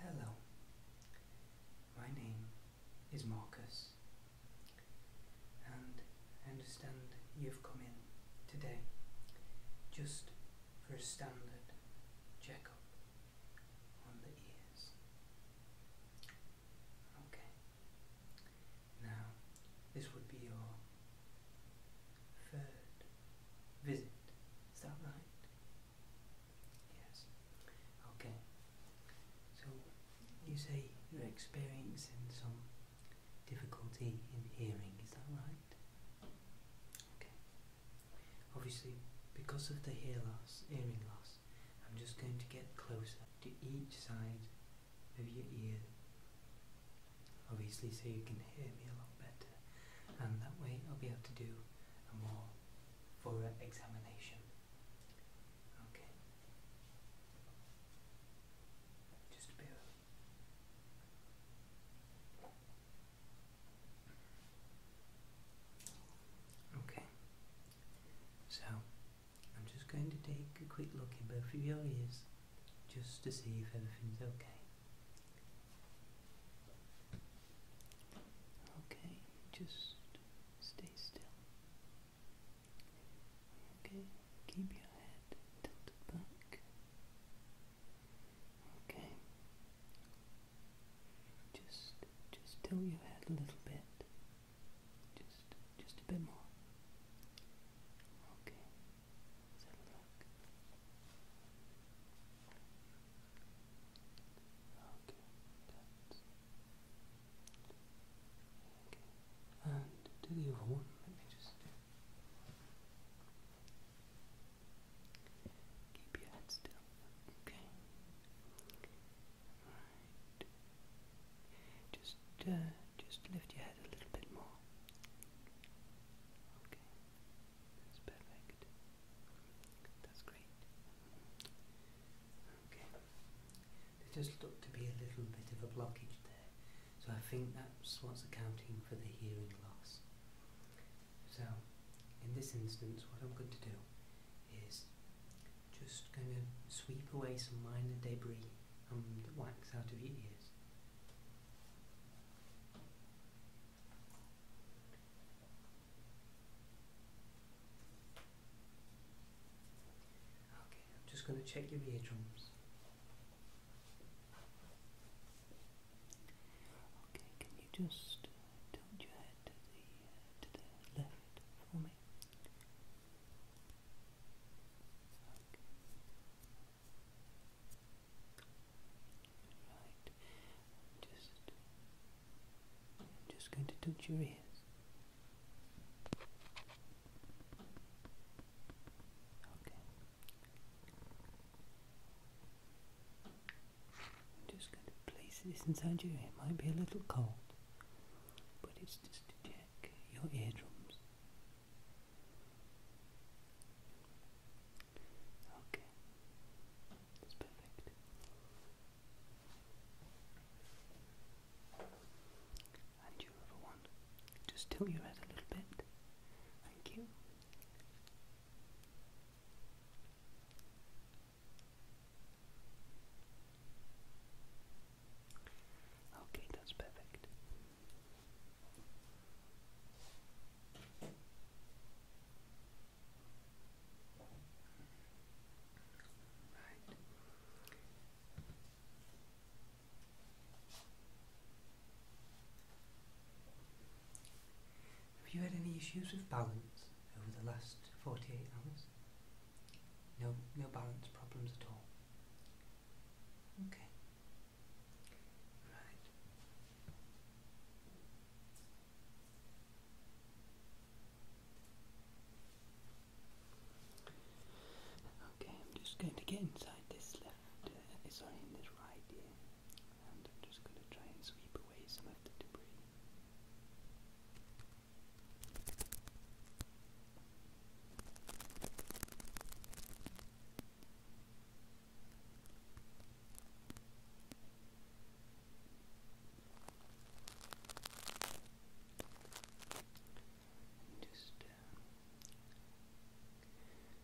Hello, my name is Marcus, and I understand you've come in today just for a standard checkup on the ears. Okay, now, this would be your third visit. Is that right? Yes. Okay. So, you say you're experiencing some difficulty in hearing, is that right? Okay. Obviously, because of the hear loss, hearing loss, I'm just going to get closer to each side of your ear, obviously, so you can hear me a lot better, and that way I'll be able to do a more thorough examination. Okay, just a bit Okay, so I'm just going to take a quick look in both of your ears just to see if everything's okay. Okay, just stay still. Okay, keep your head tilted back. Okay, just just tilt your head a little bit. Just just a bit more. Okay. Okay, okay. And to the other one, let me just keep your head still. Okay. Just, uh, just lift your head a little bit more. Okay, that's perfect. That's great. Okay. There does look to be a little bit of a blockage there, so I think that's what's accounting for the hearing loss. So, in this instance, what I'm going to do is just going to sweep away some minor debris and wax out of your ears. Okay, just going to check your eardrums. Okay, can you just uh, tilt your head to the left Right. Just, I'm just going to touch your ears. Okay. I'm just going to place this inside your ear. It might be a little cold, but it's just to check your eardrums. Okay, that's perfect. And your other one, just tilt your head a little bit. Thank you. Okay, that's perfect. Right. Have you had any issues with balance over the last 48 hours? No, no balance problems at all. Okay. Right. Okay, I'm just going to get inside this left, uh, sorry, in this right ear and I'm just going to try and sweep away some of the debris. And just um,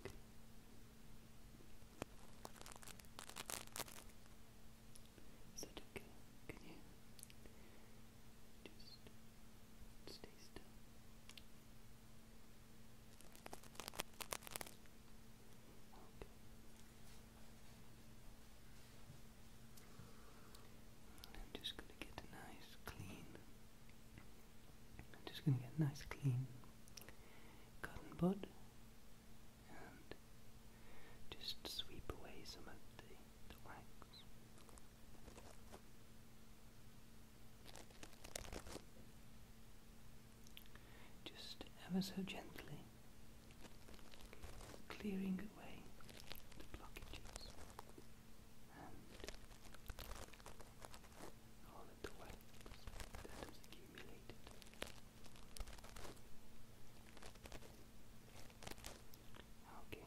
Okay. Is that okay? Can you just stay still? I'm just going to get a nice clean just going to get a nice clean cotton bud and just sweep away some of the, the Just ever so gently clearing away the blockages and all of the wax that was accumulated. Okay. Okay.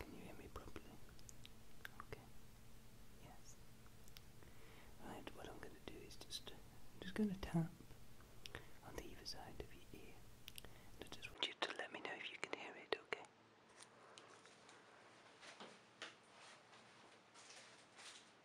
Can you hear me properly? Okay. Yes. Right, what I'm going to do is just, just going to tap on the other side of your ear. I just want you to let me know if you can hear it, Okay.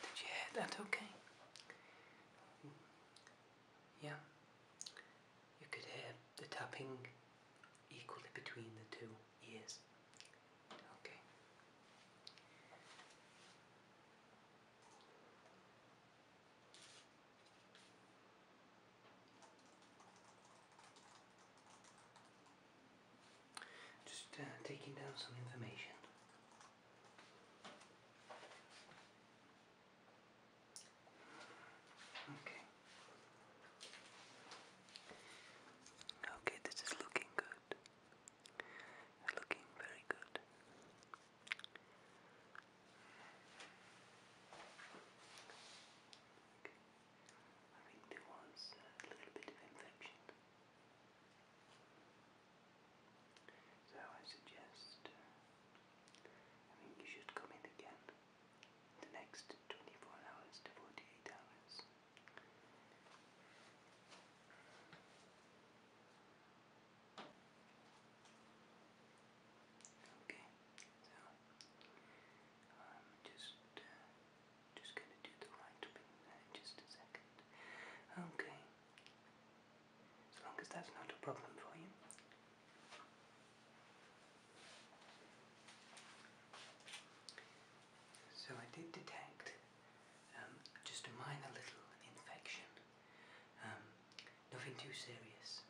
Did you hear that okay? Yeah. You could hear the tapping equally between the two. Yes. Okay. Just uh, taking down some information. Okay. Okay, this is looking good good. you looking very good. I think there was a little bit of infection. So I suggest, uh, I think you should come in again the next 24 hours to 48 hours Okay, so I'm um, just uh, just gonna do the light beam just a second. Okay, as long as that's not a problem for you. So I did detect um, just a minor little infection, um, nothing too serious,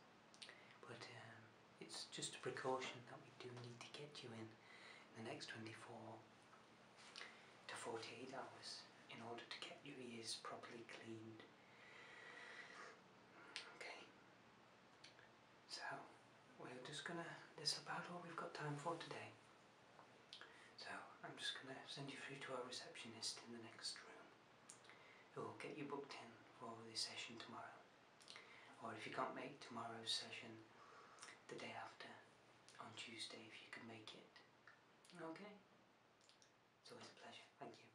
but um, it's just a precaution that we do need to get you in, in the next 24 to 48 hours in order to get your ears properly cleaned. Okay, so we're just gonna, that's about all we've got time for today. So I'm just gonna send you through to our receptionist in the next room who will get you booked in for the session tomorrow. Or if you can't make tomorrow's session, the day after, on Tuesday if you can make it. Okay? It's always a pleasure. Thank you.